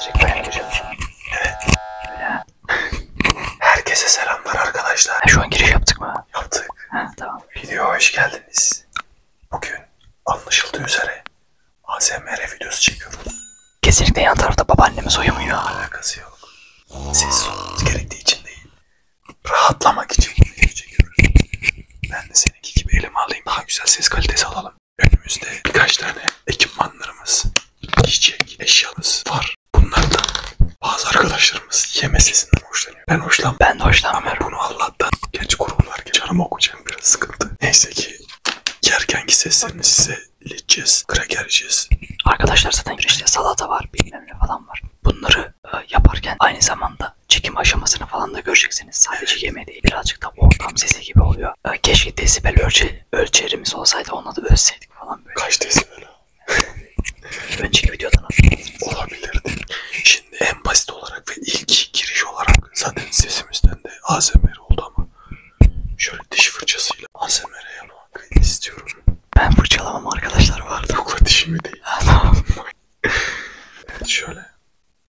Çekmeye giriyorsun. Evet. Öyle. Herkese selamlar arkadaşlar. Ha, şu an giriş yaptık mı? Yaptık. Ha, tamam. Videoya hoş geldiniz. Bugün anlaşıldığı üzere ASMR videosu çekiyoruz. Kesinlikle yan tarafta babaannemiz uyumuyor. Alakası yok. Siz sormanız gerektiği için değil. Rahatlamak için video çekiyoruz. Ben de seninki gibi elime alayım. Daha güzel ses kalitesi alalım önümüzde birkaç tane ekipmanlarımız, yiyecek, eşyamız var. Bunlardan bazı arkadaşlarımız yeme sesinden hoşlanıyor. Ben hoşlan. Ben de hoşlanmıyorum. Bunu Allah'tan genç kurumlar gibi canımı okuyacağım biraz sıkıntı. Neyse ki yerkenki seslerini size ileteceğiz, kraker yiyeceğiz. Arkadaşlar zaten işte salata var, bilmem ne falan var. Bunları e, yaparken aynı zamanda çekim aşamasını falan da göreceksiniz. Sadece yeme değil, birazcık da ortam sesi gibi oluyor ya keşke desibel ölçe, ölçerimiz olsaydı onunla da ölseydik falan böyle. Kaç desibel? Önceki videodan Olabilirdi. Şimdi en basit olarak ve ilk giriş olarak zaten sesimizden de ASMR oldu ama şöyle diş fırçasıyla ASMR yapmak istiyorum. Ben fırçalamam arkadaşlar vardı. Yokla dişimi değil. şöyle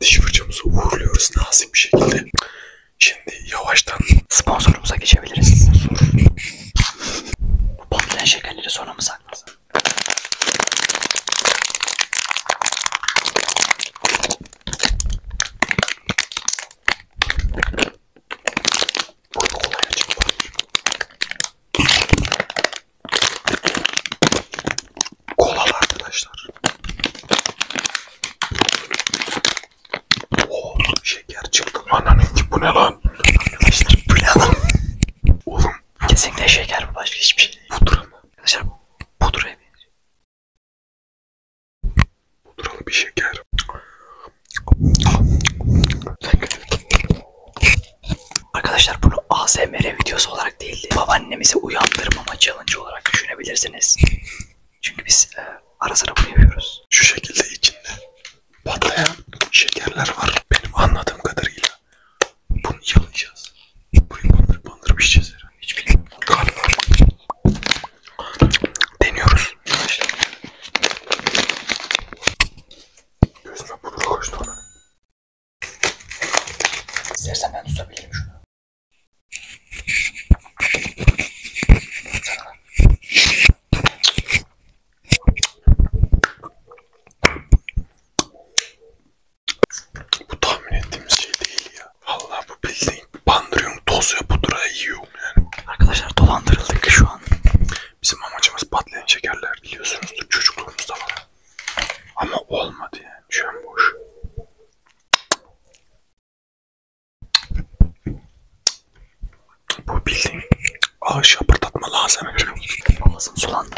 Diş fırçamızı uğurluyoruz nazik bir şekilde. Şimdi yavaştan sponsorumuza geçebiliriz. Sponsor. Bu pomplen şekerleri sonra mı saklasın? Burada kolay açık var. Kolalı arkadaşlar. Oo oh, şeker çıktı. Ananın ki bu ne lan? Arkadaşlar bu ne lan? Oğlum. Kesinlikle şeker bu başka hiçbir şey değil. Pudra mı? Arkadaşlar bu pudraya benziyor. Pudralı bir şeker. Arkadaşlar bunu ASMR videosu olarak değildi. Babaannemizi uyandırmama challenge olarak düşünebilirsiniz. Çünkü biz e, ara sıra bunu yapıyoruz. Şu şekilde içinde patlayan şekerler var. Benim anladığım kadarıyla bunu yalayacağız. Burayı bandırıp bandırıp içeceğiz herhalde. Hiç bilmiyorum. Galiba. Deniyoruz. Gözüme pudra koştu ona. İstersen ben tutabilirim şunu. Bu tahmin ettiğimiz şey değil ya. Vallahi bu bildiğin Hani bandırıyorsun, toz ya pudra yiyorsun yani. Arkadaşlar dolandırıldık şu an. Bizim amacımız patlayan şekerler biliyorsunuzdur çocukluğumuzda var. Ama olmadı yani şu an boş. Bu bildiğin ağaç yapırdatma lazım. Ağzım sulandı.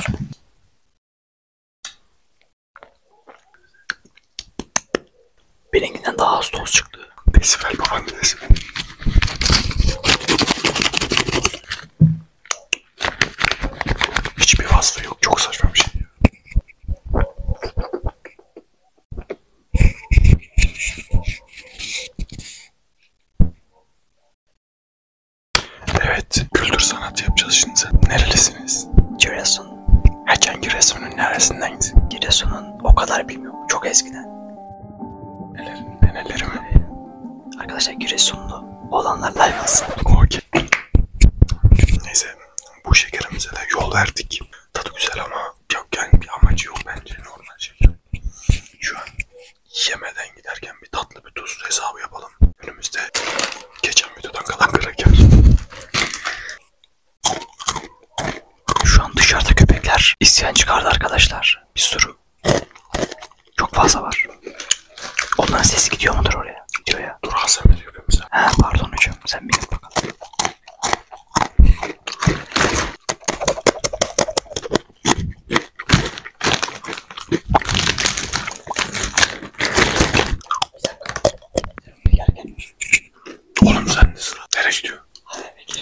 Benimkinden daha az toz çıktı. Desibel baban desibel. Hiçbir vasfı yok. Çok saçma bir şey. Evet, kültür sanat yapacağız şimdi. Nerelisiniz? Giresun. Erken Giresun'un neresinden? Giresun'un o kadar bilmiyorum. Çok eskiden. Nelerin, nelerimi? Arkadaşlar Giresunlu olanlar laymasın. Okey. Neyse bu şekerimize de yol verdik. Tadı güzel ama yok yani bir amacı yok bence normal şeker. Şu an yemeden giderken bir tatlı bir tuz hesabı yapalım. Önümüzde geçen videodan kalan kraker. Şu an dışarıda köpekler isyan çıkardı arkadaşlar. Bir sürü. Çok fazla var. Onların sesi gidiyor mudur oraya? Gidiyor ya. Dur Hasan ne diyor bize? He pardon hocam sen bir git bakalım. Gel gel. Oğlum sen de sıra. Nereye gidiyor? Hadi bekle.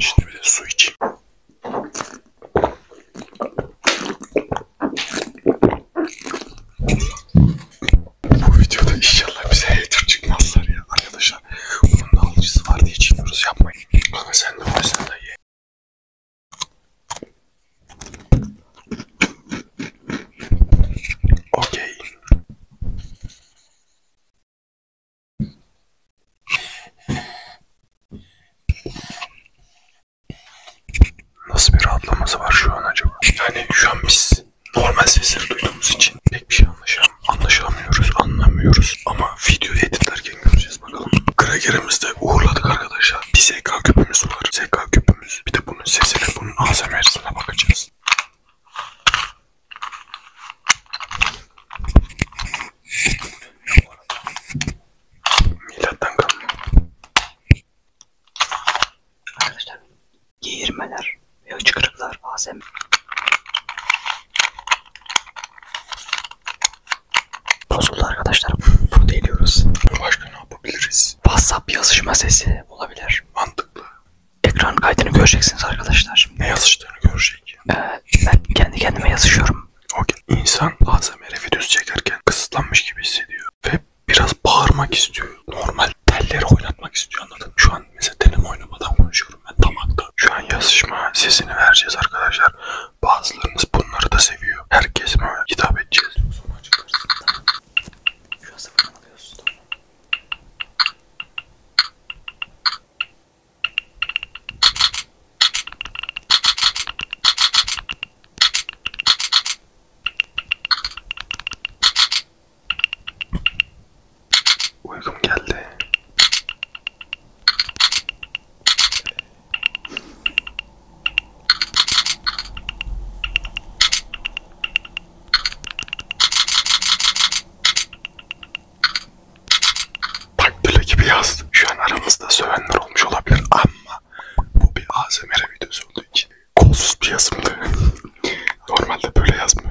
Şimdi bir de su içeyim. Bu videoda inşallah bize hater çıkmazlar ya arkadaşlar. Bunun da alıcısı var diye çekiyoruz yapmayın. Kanka sen de var sen de ye. Okey. Nasıl bir rahatlaması var şu an acaba? Yani şu an biz normal sesleri duyduğumuz için pek bir şey anlaşam anlaşamıyoruz, anlamıyoruz. Ama video editlerken göreceğiz. Göreceğiz bakalım. Krakerimizi de uğurladık arkadaşlar. Bir SK küpümüz var. SK küpümüz. Bir de bunun sesine, bunun ASMR'sine bakacağız. Milattan kalma. Arkadaşlar yeğirmeler ve hıçkırıklar ASMR. Bozuldu arkadaşlar. Bunu deliyoruz. Başka ne yapabiliriz? WhatsApp yazışma sesi olabilir. Mantıklı. Ekran kaydını göreceksiniz arkadaşlar. Ne yazıştığını görecek. Ee, ben kendi kendime yazışıyorum. Okay. İnsan bazen merefi düz çekerken kısıtlanmış gibi hissediyor. Ve biraz bağırmak istiyor. Normal telleri oynatmak istiyor anladın Şu an an mesela telefon oynamadan konuşuyorum ben damakta. Şu an yazışma sesini vereceğiz arkadaşlar. Bazılarınız bunları da seviyor. Herkes mi hitap edeceğiz? Çok sonra açıklarsın. Tamam. Şu an sıfırdan alıyorsun. Tamam. Uykum geldi. Takdüle gibi yaz. Şu an aramızda sövenler olmuş olabilir ama bu bir ASMR videosu olduğu için kolsuz bir yazımdı. Normalde böyle yazmıyor.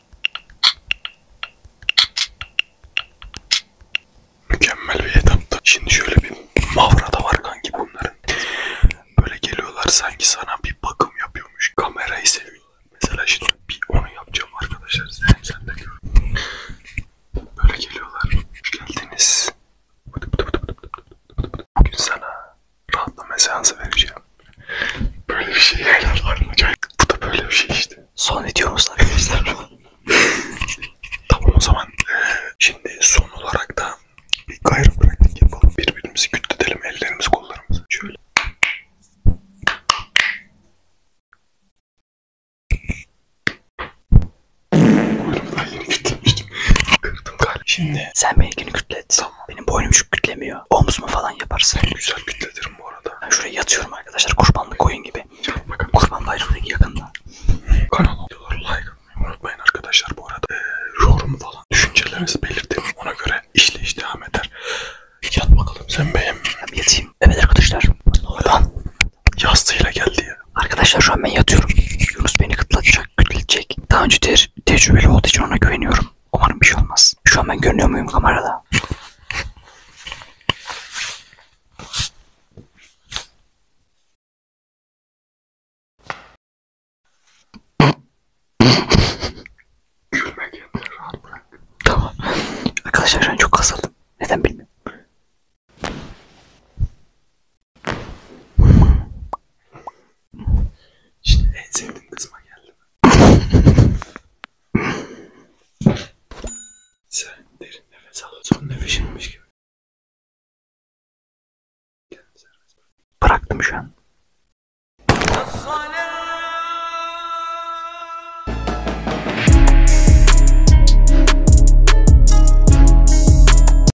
Mükemmel bir etaptı. Şimdi şöyle bir mavra da var kanki bunların. Böyle geliyorlar sanki sana bir bakım yapıyormuş. Kamerayı seviyorlar. Mesela şimdi bir onu yapacağım arkadaşlar. Sen, sen de gör. Böyle geliyorlar. Hoş geldiniz. Bugün sana rahatlama seansı vereceğim. Böyle bir şey herhalde acayip. Bu da böyle bir şey işte. Son videomuz arkadaşlar. tamam o zaman. E, şimdi son olarak da bir gayrı bıraktık yapalım. Birbirimizi kütledelim ellerimizi kollarımızı. Şöyle. Kuyruğumdan yeni kütlemiştim. Kırdım galiba. Şimdi. Sen beni günü kütlet. Tamam. Benim boynum şu kütlemiyor. Omuz mu falan yaparsın? Güzel kütledirim bu arada. Ben şuraya yatıyorum arkadaşlar. Kurbanlık koyun gibi. Canım bakın. Kurban bayramı yakında. Kanala videoları like atmayı unutmayın arkadaşlar bu arada. Ee, yorum falan düşüncelerinizi belirtin. Ona göre işle iştiham eder. Yat bakalım sen benim. Ben yatayım. Evet arkadaşlar. Oradan. Yastığıyla geldi ya. Arkadaşlar şu an ben yatıyorum. Yunus beni kıtlatacak, kütletecek. Daha önce te tecrübeli olduğu için ona güveniyorum. Umarım bir şey olmaz. Şu an ben görünüyor muyum kamerada? tamam. Arkadaşlar şu an çok kasıldım. Neden bilmiyorum. Şimdi en sevdiğim kısma geldim. Sen derin nefes al. Son nefesinmiş gibi. Bıraktım şu an.